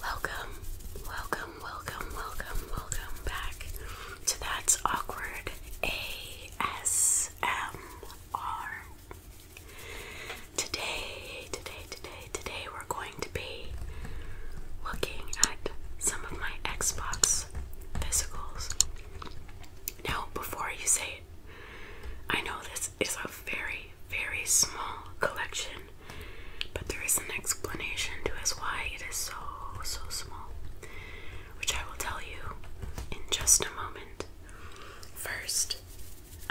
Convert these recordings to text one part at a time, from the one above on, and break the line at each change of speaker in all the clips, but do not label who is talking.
Welcome, welcome, welcome, welcome, welcome back to That's Awkward ASMR. Today, today, today, today, we're going to be looking at some of my Xbox physicals. Now, before you say it, I know this is a very, very small collection, but there is an explanation to us why it is so, so small, which I will tell you in just a moment. First,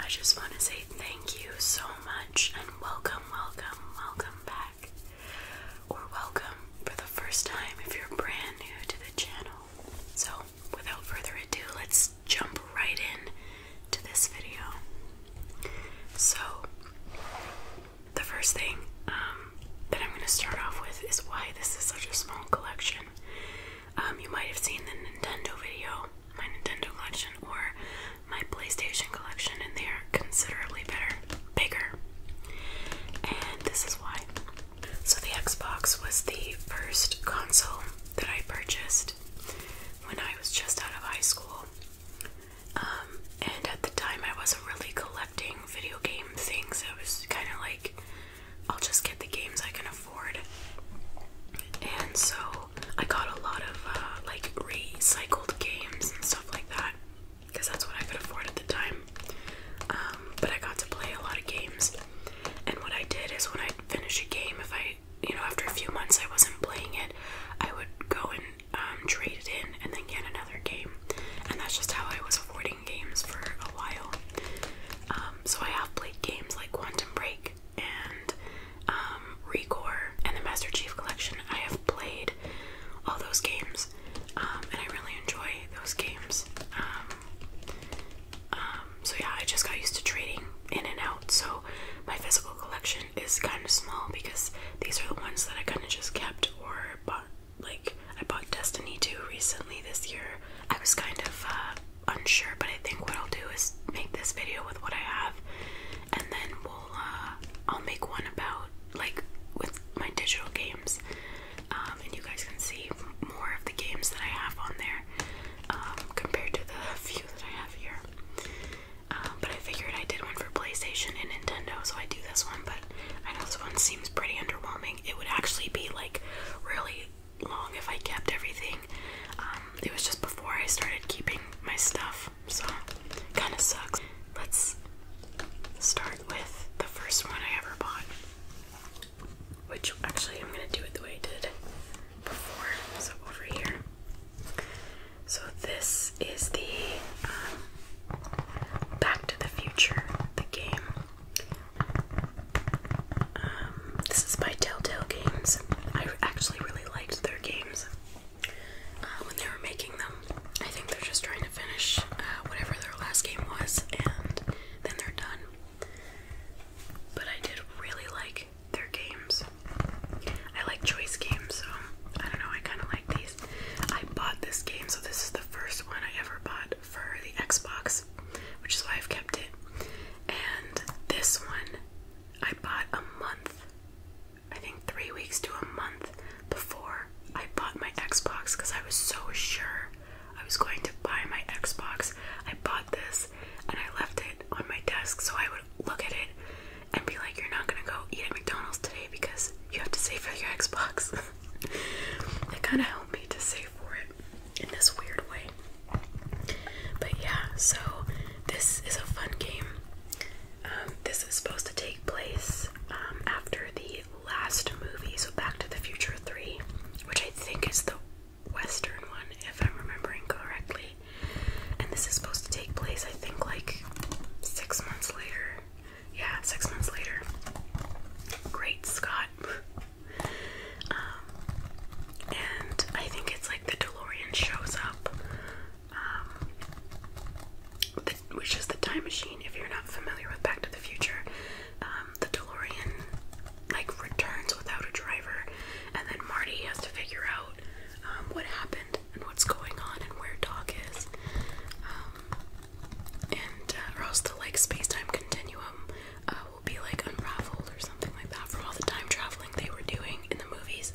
I just want to say thank you so much and welcome, welcome, welcome back. Or welcome for the first time if you're brand new to the channel. So, without further ado, let's jump right in to this video. So, the first thing um, that I'm going to start off with is why this is such a small collection. Um, you might have seen the Nintendo video, my Nintendo collection, or my PlayStation collection, and they are considerably better, bigger. And this is why. So, the Xbox was the first console that I purchased when I was just out of high school. Um, and at the time, I wasn't really collecting video game things. I was kind of like, I'll just get the games I can afford. And so, I got a lot of uh, like recycled games and stuff like that because that's what I could afford at the time. Um, but I got to play a lot of games. And what I did is when I'd finish a game, if I, you know, after a few months I wasn't playing it, I would go and um, trade it in and then get another game. And that's just how I was avoiding games for a while. Um, so I have played games like Quantum Break and um, and the Master Chief Collection. I have played all those games um, and I really enjoy those games. Um, um, so yeah, I just got used to trading in and out. So my physical collection is kind of small because these are the ones that I kind of just kept or bought. Like I bought Destiny 2 recently this year. I was kind of uh, unsure, but I think what I'll do is make this video with what I have, and then we'll uh, I'll make one about like with my digital games. Um, and you guys can see more of the games that I have on there um, compared to the few that I have here. Um, but I figured I did one for PlayStation and Nintendo, so I do this one. But I know this one seems pretty underwhelming. It would actually be like really long if I kept everything. it was just before I started keeping my stuff, so kind of sucks. Let's start with the first one I ever bought, which actually I'm going to do it the way I did before. So, over here. So, this is the um, Back to the Future, the game. Um, this is by Telltale Games. I actually really liked their games uh, when they were making them. I think they're just trying to finish uh, whatever their last game was, and then they're done. But I did really like their games. I like choice games, so I don't know, I kind of like these. I bought this game, so this is the first one I ever bought for the Xbox, which is why I've kept it. And this one I bought a month, I think three weeks to a month before I bought my Xbox because I was so sure I was going to buy my Xbox. I bought this and I left it on my desk so I would look at it and be like, You're not gonna go eat at McDonald's today because you have to save for your Xbox. it kind of helped me to save for it in this weird way. But yeah, so this is a fun game. Um, this is supposed to take place um, after the last movie, so Back to the Future 3, which I think is the Western one, if I'm remembering correctly. And this is supposed to take place, I think, like six months later. Yeah, six months later. Great Scott. Um, and I think it's like the DeLorean shows up. Um, which is the time machine. If you're not familiar with Back to the Future, um, the DeLorean like returns without a driver, and then Marty has to figure out um, what happened and what's going on and where Doc is, um, and uh, or else the like space-time continuum uh, will be like unraveled or something like that from all the time traveling they were doing in the movies.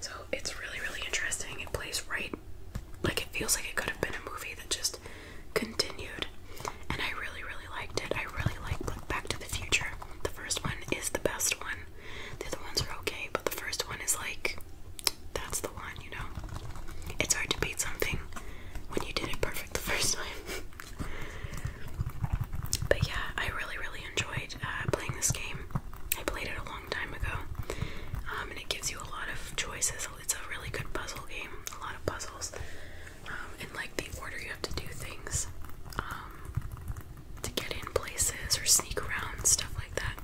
So it's really really interesting. It plays right like it feels like it could have been a movie that just continued. And I really, really liked it. I really like Back to the Future. The first one is the best one. The other ones are okay, but the first one is like that's the one, you know. It's hard to beat something when you did it perfect the first time. but yeah, I really, really enjoyed uh, playing this game. I played it a lot long time ago. Um, and it gives you a lot of choices. It's a really good puzzle game, a lot of puzzles. Um, and like the order you have to do things um, to get in places or sneak around, stuff like that.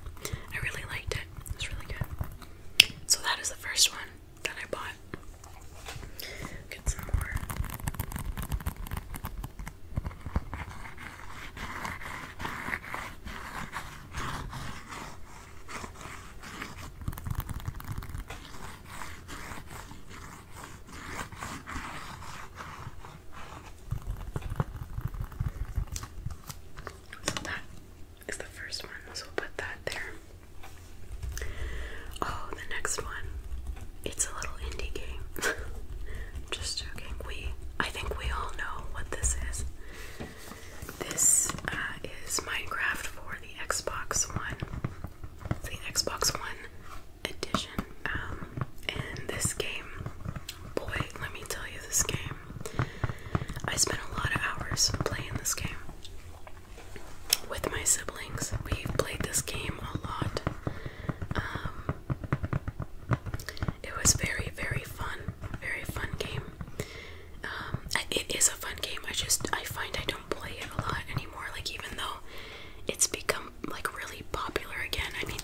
I really liked it, it was really good. So, that is the first one that I bought. Get some more. So that is the first one, so we'll put that there. Oh, the next one. It's a little indie game. Just joking. We I think we all know what this is. This uh, is Minecraft for the Xbox One, the Xbox One edition. Um, and this game, boy, let me tell you, this game. I spent a lot of hours playing this game with my siblings. we played this game a lot. Um, it was very, very fun. Very fun game. Um, it is a fun game. I just I find I don't play it a lot anymore. Like even though it's become like really popular again. I mean,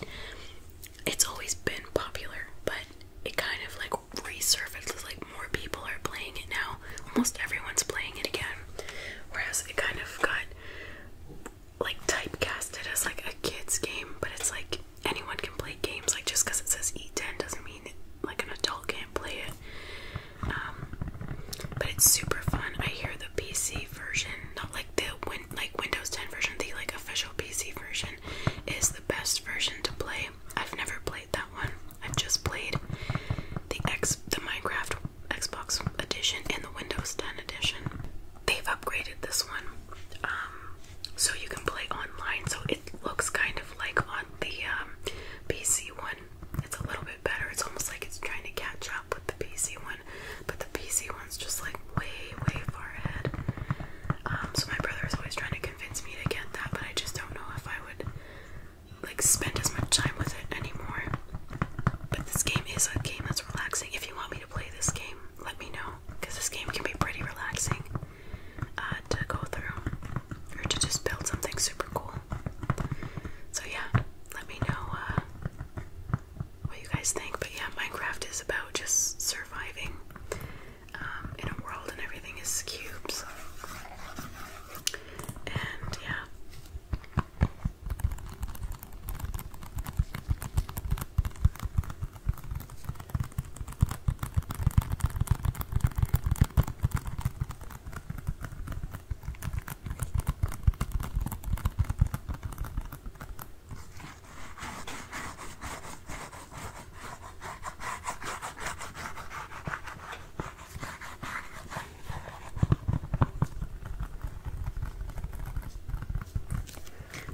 it's always been popular, but it kind of like resurfaces. Like more people are playing it now. Almost everyone's playing it again. Whereas it kind of got like typecasted as like a kids game, but it's like anyone can play games. Like just because it says E10 doesn't mean like an adult can't play it. Um, but it's super fun. I hear the PC version, not like the win like Windows 10 version, the like official PC version, is the best version to play. I've never played that one. I've just played the X the Minecraft Xbox edition and the Windows 10 edition. They've upgraded this one. Um, so you can play online. So it looks kind of like on the um, PC one. It's a little bit better. It's almost like it's trying to catch up with the PC one, but the PC one's just like way, way far ahead. Um, so my brother is always trying to convince me to get that, but I just don't know if I would like spend as much time with it anymore. But this game is a game that's relaxing. If you want me to play this game, let me know because this game can be pretty relaxing. Uh, to go through or to just build something super cool. So, yeah, let me know uh, what you guys think. But, yeah, Minecraft is about just surviving um, in a world, and everything is cubes. And, yeah.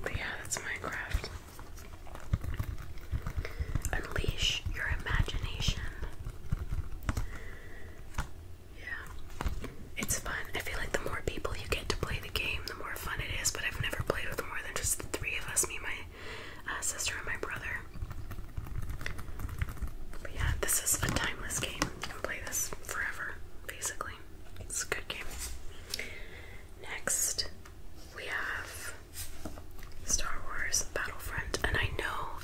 But yeah, that's Minecraft. Unleash your imagination. Yeah, it's fun. I feel like the more people you get to play the game, the more fun it is. But I've never played with more than just the three of us me, my uh, sister, and my brother. But yeah, this is a timeless game. You can play this forever, basically. It's a good game. Next we have Star Wars Battlefront, and I know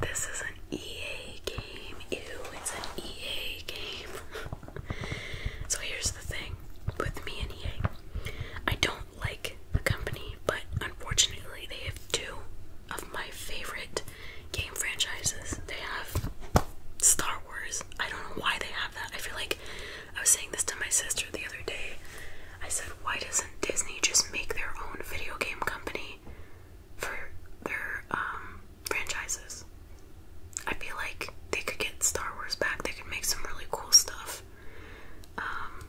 this is an EA game. it's an EA game. so here's the thing with me and EA I don't like the company, but unfortunately, they have two of my favorite game franchises. They have Star Wars. I don't know why they have that. I feel like I was saying this to my sister the other day. I said, why doesn't Disney just make their own video game company for their um, franchises? I feel like they could get Star Wars back. They could make some really cool stuff. Um,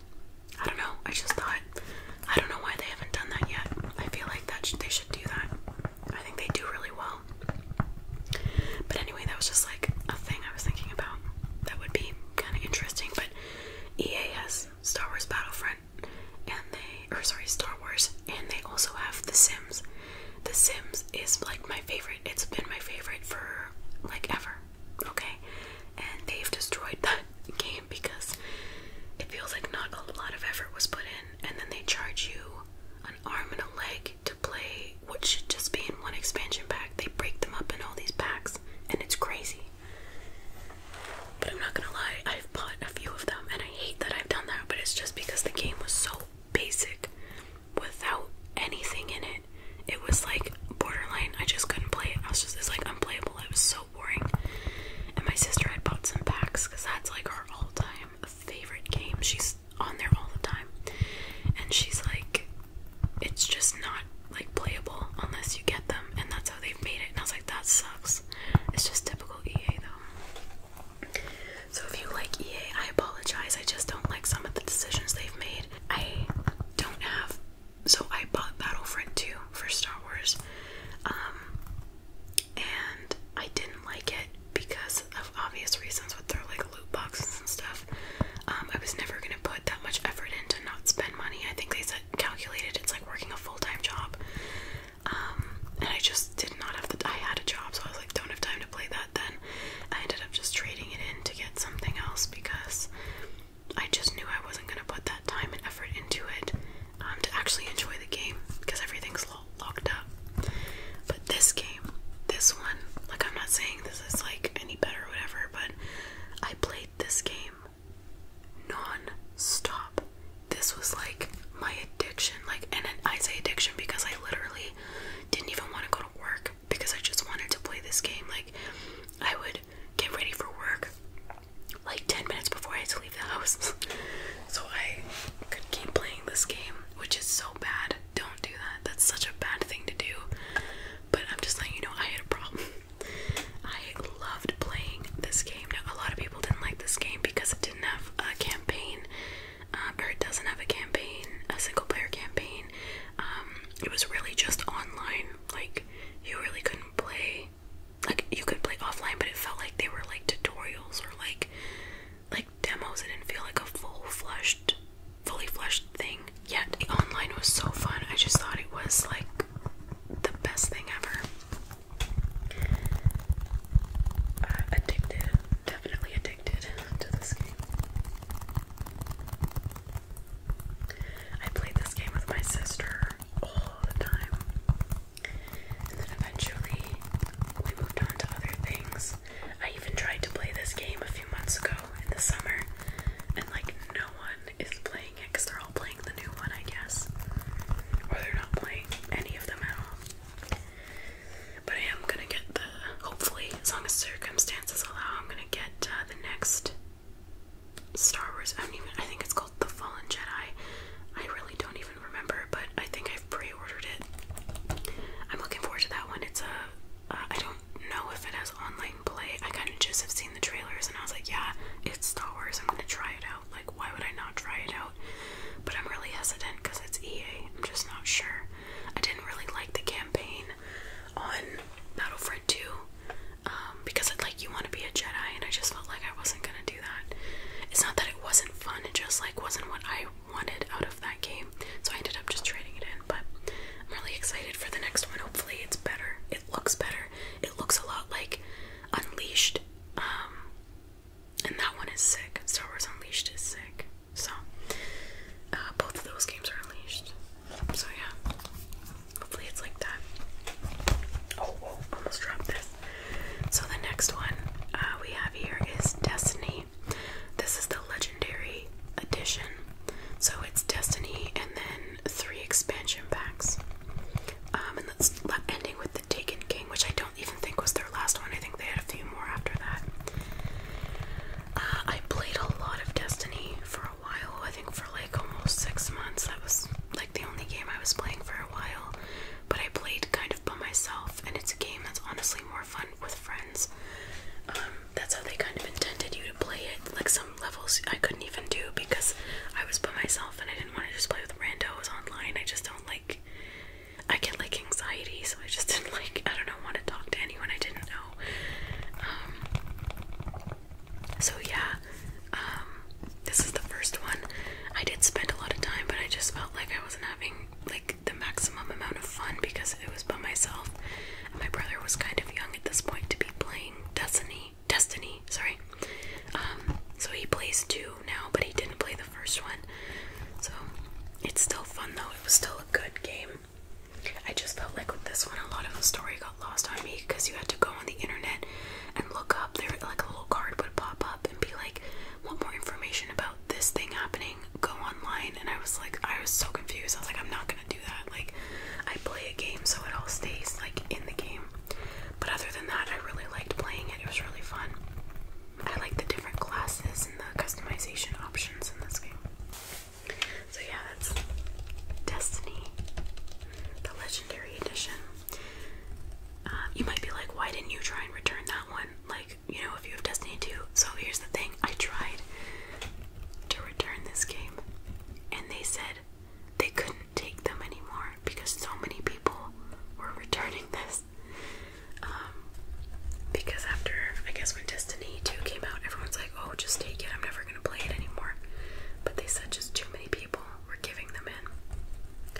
I don't know. I just thought, I don't know why they haven't done that yet. I feel like that they should do that. I think they do really well. But anyway, that was just like a thing I was thinking about that would be kind of interesting. But EA has Star Wars Battlefront, and they, or sorry, Star Wars, and they also have The Sims. The Sims is like my favorite. It's been my favorite for like ever. Okay, and they've destroyed that game because it feels like not a lot of effort was put in, and then they charge you an arm and a leg to play what should just be in one expansion pack. They break them up in all these packs, and it's crazy. But I'm not gonna lie, I've bought a few of them, and I hate that I've done that, but it's just because the game was so basic without anything in it. It was like borderline, I just couldn't play it. I was just, like unplayable. It was so boring. And my sister had bought some packs because that's like her all time favorite game. She's on there all the time. And she's like, it's just not like playable unless you get them, and that's how they've made it. And I was like, that sucks. It's just typical EA though. So if you like EA, I apologize. I just don't like some of the decisions they've made. I don't have. So I bought Battlefront 2 for Star Wars. Um and I didn't like it because of obvious reasons with their like loot boxes and stuff. Um, I was never gonna put that much effort into not spend money. I think they said calculated it's like working a full time job. Um, and I just did not have the I had a job, so I was like, don't have time to play that then. I ended up just trading it in to get something else because I just knew I wasn't gonna put that time and effort into it um, to actually enjoy the game because everything's locked up this game, this one, like I'm not saying this is like any better whatever, but I played this game non stop. This was like my addiction, like, and I say addiction because I literally didn't even want to go to work because I just wanted to play this game. Like, I would get ready for work like 10 minutes before I had to leave the house. so I could keep playing this game, which is so bad don't do that. That's such a bad thing to do. But I'm just letting you know I had a problem. I loved playing this game. a lot of people didn't like this game because it didn't have a campaign, uh, or it doesn't have a campaign, a single player campaign. Um, it was really just online. Like, you really couldn't play. Like, you could play offline, but it felt like they were like tutorials or like like demos. It didn't feel like a full fleshed, fully fleshed thing. Yet online was so fun. I just thought it was like the best thing ever. Uh, addicted, definitely addicted to this game. I played this game with my sister all the time. And eventually we moved on to other things. I even tried to play this game a few months ago in the summer, and like no one is playing it because they're all playing the new one, I guess. Or they're not playing any of them at all. But I am gonna get the, hopefully, as long as circumstances allow, I'm gonna get uh, the next Star Wars. I don't even, I think it's called The Fallen Jedi. I really don't even remember, but I think I've pre ordered it. I'm looking forward to that one. It's a uh, I don't know if it has online play. I kind of just have seen the trailers and I was like, yeah, it's Star Wars. I'm gonna try it out. Like, why would I not try it out? But I'm really hesitant because it's EA. I'm just not sure. I didn't really like the campaign on Battlefront 2 um, because it like you want to be a Jedi, and I just felt like I wasn't gonna do that. It's not that it wasn't fun; it just like wasn't what I wanted out of that game. So I ended up just trading it in. But I'm really excited for the next one. Hopefully it's better. It looks better. It looks a lot like Unleashed. Um, and that one is sick. Star Wars Unleashed is sick. So uh, both of those games are unleashed. So yeah. Hopefully it's like that. Oh, almost dropped this. So the next one uh, we have here is Destiny this is the legendary edition. So it's Destiny and then three expansion packs. Um, and that's ending with the Taken King, which I don't even think was their last one. I think they had a few more after that. Uh, I played a lot of Destiny for a while. I think for like almost six months. That was like the only game I was playing for a while. But I played kind of by myself, and it's a game that's honestly more fun with friends. Um, that's how they kind of intended you to play it. Like some levels I couldn't even do because I was by myself and I didn't want to just play with randos online. I just don't like. I get like anxiety, so I just didn't like. I don't know, want to talk to anyone I didn't know. Um, so yeah, um, this is the first one. I did spend a lot of time, but I just felt like I wasn't having like the maximum amount of fun because it was by myself, and my brother was kind of young at this point to be playing Destiny. Destiny, sorry. Um, so he plays two now, but he didn't play the first one. So it's still fun though. It was still a good game. I just felt like with this one, a lot of the story got lost on me because you had to go on the internet and look up. There, like a little card would pop up and be like, "Want more information about?" this thing happening, go online, and I was like, I was so confused. I was like, I'm not gonna do that. Like, I play a game, so it all stays like in the game. But other than that, I really liked playing it. It was really fun. I like the different classes and the customization options in this game. So yeah, that's Destiny, the Legendary Edition. Uh, you might be like, why didn't you try and return that one? Like, you know, if you have Destiny 2. So here's the thing I tried to return this game, and they said they couldn't take them anymore because so many people were returning this. Um, because after, I guess, when Destiny 2 came out, everyone's like, oh, just take it, I'm never gonna play it anymore. But they said just too many people were giving them in.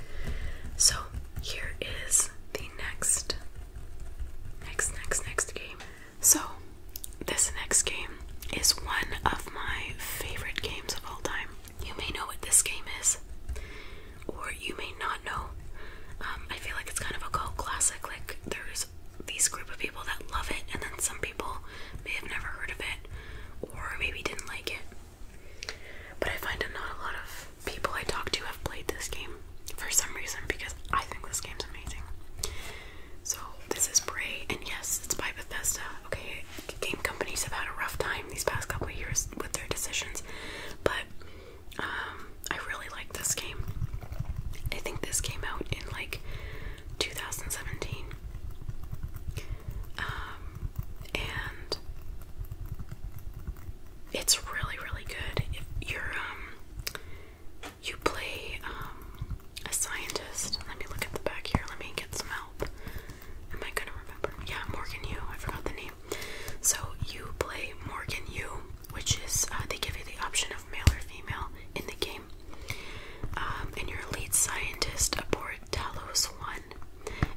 So, here is the next Next, next, next game. So, this next game is one of my favorite games of all time. You may know what this game is, or you may not know. Um, I feel like it's kind of a cult classic. Like, there's these group of people that love it, and then some people may have never heard of it, or maybe didn't like it. But I find not a lot of people I talk to have played this game for some reason because I think this game's amazing. So, this is Bray, and yes, it's by Bethesda. Okay, game companies have had a rough time these past couple of years with their decisions, but um, I really like this game. I think this came out in like 2017. Um, and it's really really good. If you're um you play um a scientist. Let me look at the back here. Let me get some help. Am I gonna remember? Yeah, Morgan Yu. I forgot the name. So you play Morgan Yu, which is uh, they give you the option of male or female in the game. Um, and you're a lead scientist aboard Talos One,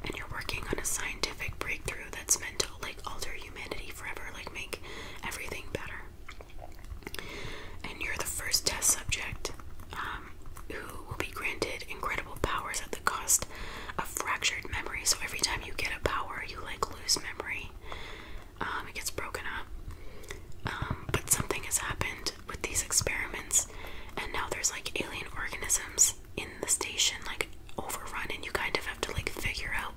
and you're working on a scientific breakthrough that's meant to like alter humanity forever, like make everything better. And you're the first test subject um, who will be granted incredible powers at the cost of fractured memory. So every time you get a power, you like lose memory. Um, it gets broken up. Um, but something has happened with these experiments, and now there's like alien organisms in the station like overrun and you kind of have to like figure out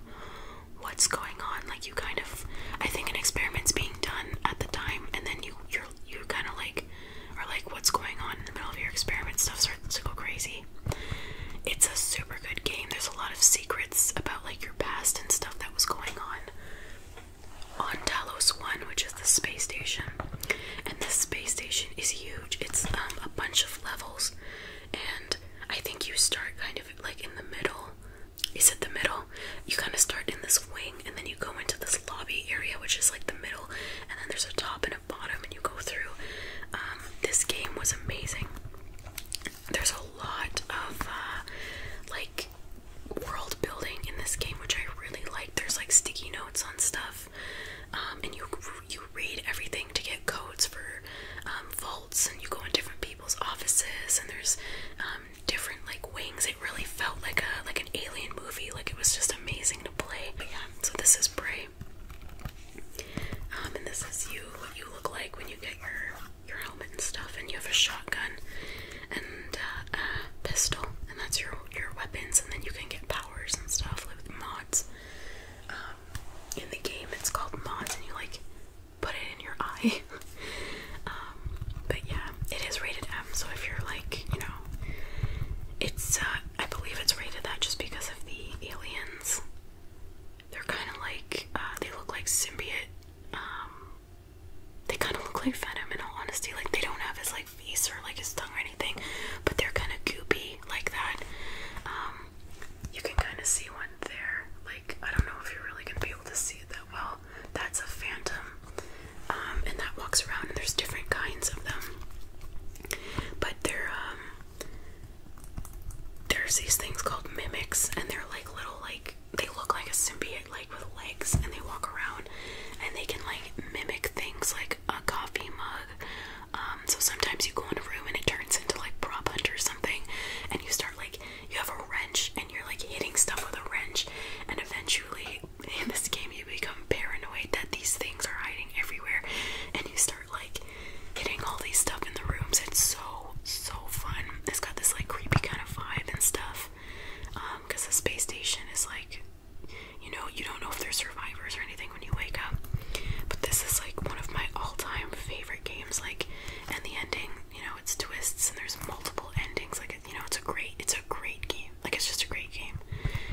what's going on like you kind of i think an experiment's being done at the time and then you you're you kind of like are like what's going on in the middle of your experiment stuff starts to go crazy it's a super good game there's a lot of secrets about like your past and stuff that was going on on Talos 1 which is the space station and this space station is huge it's um, a bunch of levels and I think you start kind of like in the middle. Is it the middle? You kind of start in this wing and then you go into this lobby area, which is like the middle, and then there's a top and a bottom, and you go through. Um, this game was amazing. There's a lot of uh, like world building in this game, which I really like. There's like sticky notes on stuff, um, and you read everything to get codes for um, vaults, and you go in different people's offices, and there's um, different like wings. It really felt like a like an alien movie. Like it was just amazing to play. so this is Prey, um, and this is you. What you look like when you get your your helmet and stuff, and you have a shotgun and uh, a pistol, and that's your your weapons, and then you can get powers and stuff like with mods in the game it's called mods, and you like put it in your eye. Um, but yeah, it is rated M, so if you're like, you know, it's, uh, I believe it's rated that just because of the aliens. They're kind of like, uh, they look like symbiote. Um, they kind of look like Venom in all honesty. Like, they don't have his, like, face or, like, his tongue or anything, but they're kind of goopy like that. Um, you can kind of see one there. Like, I don't know if you're really going to be able to see it that well. That's a phantom. Um, and that walks around, and there's different kinds of them. But they um, there's these things called mimics, and they're like little, like, they look like a simpy like with legs, and they walk around, and they can, like, mimic things like like a coffee mug. Um, so sometimes you go in a room and it turns into like prop hunt or something, and you start like you have a wrench and you're like hitting stuff with a wrench, and eventually in this game you become paranoid that these things are hiding everywhere, and you start like hitting all these stuff in the rooms. It's so so fun. It's got this like creepy kind of vibe and stuff, because um, the space station is like, you know, you don't know if they're survivors or anything when you wake up. But this is like one of my all-time favorite games. Like, and the ending, you know, it's twists and there's multiple endings. Like, you know, it's a great, it's a great game. Like, it's just a great game.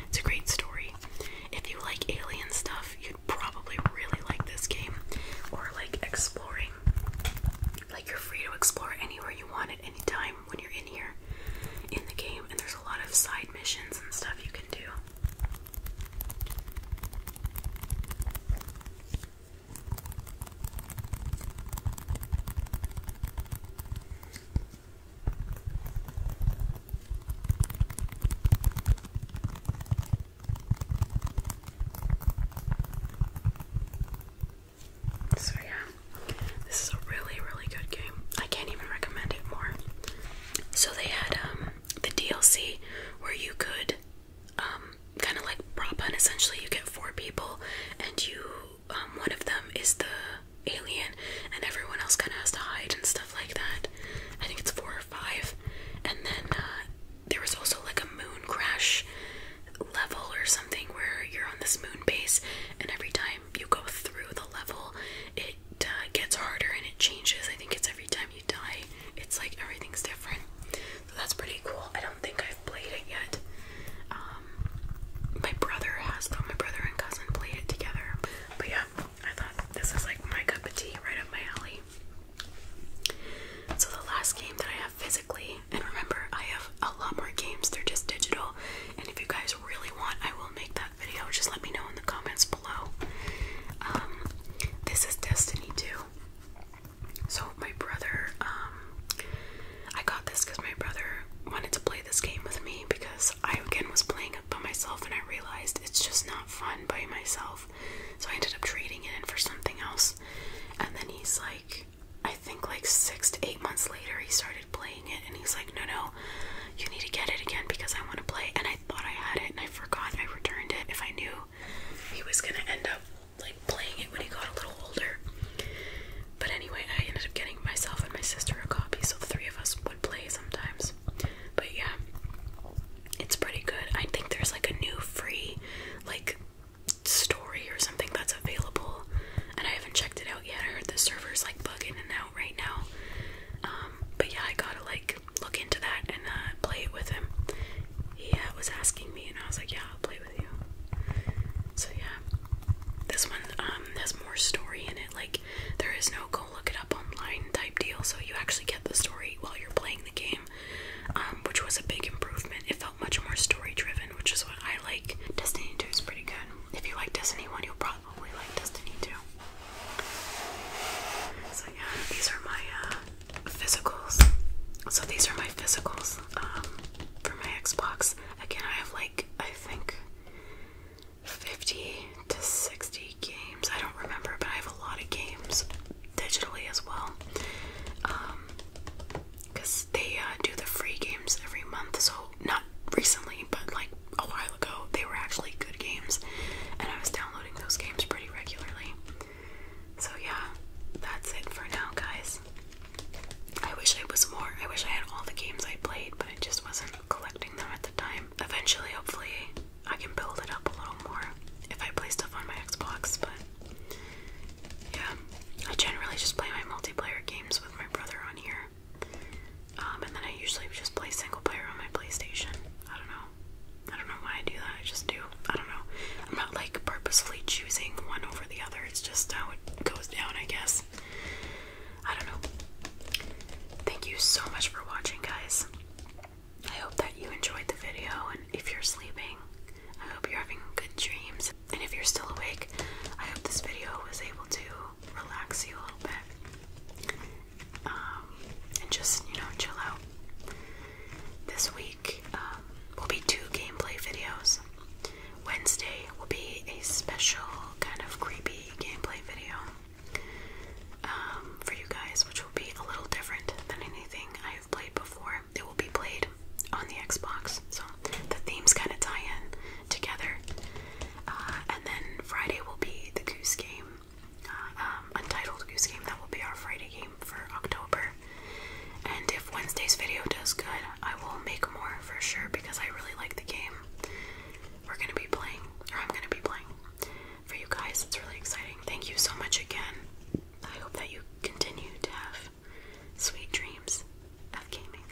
It's a great story. If you like alien stuff, you'd probably really like this game. Or like exploring. Like, you're free to explore anywhere you want at any time when you're in here in the game, and there's a lot of side missions and stuff you can do. So, yeah, this is a really, really good game. I can't even recommend it more. So, they had, um, the DLC where you could um, kind of like prop hunt. Essentially, you get four people, and you um, one of them is the alien, and everyone else kind of has to hide and stuff like that. I think it's four or five, and then uh, there was also like a moon crash level or something where you're on this moon base, and every time you go through the level, it it uh, gets harder and it changes. I think it's every time you die, it's like everything's different. So that's pretty cool. I don't think I've played it yet. Um, my brother has though. My brother and cousin play it together. But yeah, I thought this is like my cup of tea, right up my alley. So the last game that I have physically, and remember, I have a lot more games. They're just digital. And if you guys really want, I will make that video. Just let me know in the comments um, this is Destiny 2. So my brother, um, I got this because my brother wanted to play this game with me because I again was playing it by myself and I realized it's just not fun by myself. So I ended up trading it in for something else. And then he's like, I think like six to eight months later, he started playing it and he's like, no, no, you need to get it again because I want to play. And I thought I had it and I forgot. I returned it. If I knew he was going to end up like playing it when he got a little older. But anyway, I ended up getting myself and my sister a copy so the three of us would play sometimes. But yeah, it's pretty good. I think there's like a new free, like, story or something that's available and I haven't checked it out yet. I heard the server's like bugging and now out right now. Um, but yeah, I gotta like look into that and uh, play it with him. He uh, was asking me, and I was like, yeah, I'll play with you. So yeah, this one um, has more story in it. Like there is no go look it up online type deal, so you actually get the story while you're playing the game, um, which was a big improvement. It felt much more story driven, which is what I like. Destiny 2 is pretty good. If you like Destiny 1, you'll probably probably like Destiny too. So yeah, these are my uh, physicals. So these are my physicals um, for my Xbox. Again, I have like I think 50 to 60 games. I don't remember, but I have a lot of games digitally as well. because um, they uh, do the free games every month, so not recently, but like a while ago, they were actually good games, and I was downloading those games pretty regularly. So, yeah, that's it for now, guys. I wish I was more, I wish I had all the games I played, but I just wasn't collecting them at the time. Eventually, hopefully, I can build it up a little more if I play stuff on my Xbox, but yeah, I generally just play my multiplayer games with my brother on here. Um, and then I usually just play single player on my PlayStation. I don't know. I don't know why I do that. I just do. I don't know. I'm not like purposefully choosing one over the other. It's just how it goes down, I guess. I don't know. Thank you so much for watching, guys. I hope that you enjoyed the video, and if you're sleeping, I hope you're having good dreams. And if you're still awake, I hope this video was able to relax you a little bit. Um, and just you know chill out. This week um, will be two gameplay videos. Wednesday will be a special kind of creepy gameplay video um, for you guys, which will be a little different than anything I have played before. It will be played on the Xbox, so the themes kind of tie in together. Uh, and then Friday will be the Goose Game, uh, um, Untitled Goose Game. That will be our Friday game for October. And if Wednesday's video does good, I will make more for sure because I really like the game. We're going to be playing, or I'm going to be playing for you guys. It's really exciting. Thank you so much again. I hope that you continue to have sweet dreams of gaming.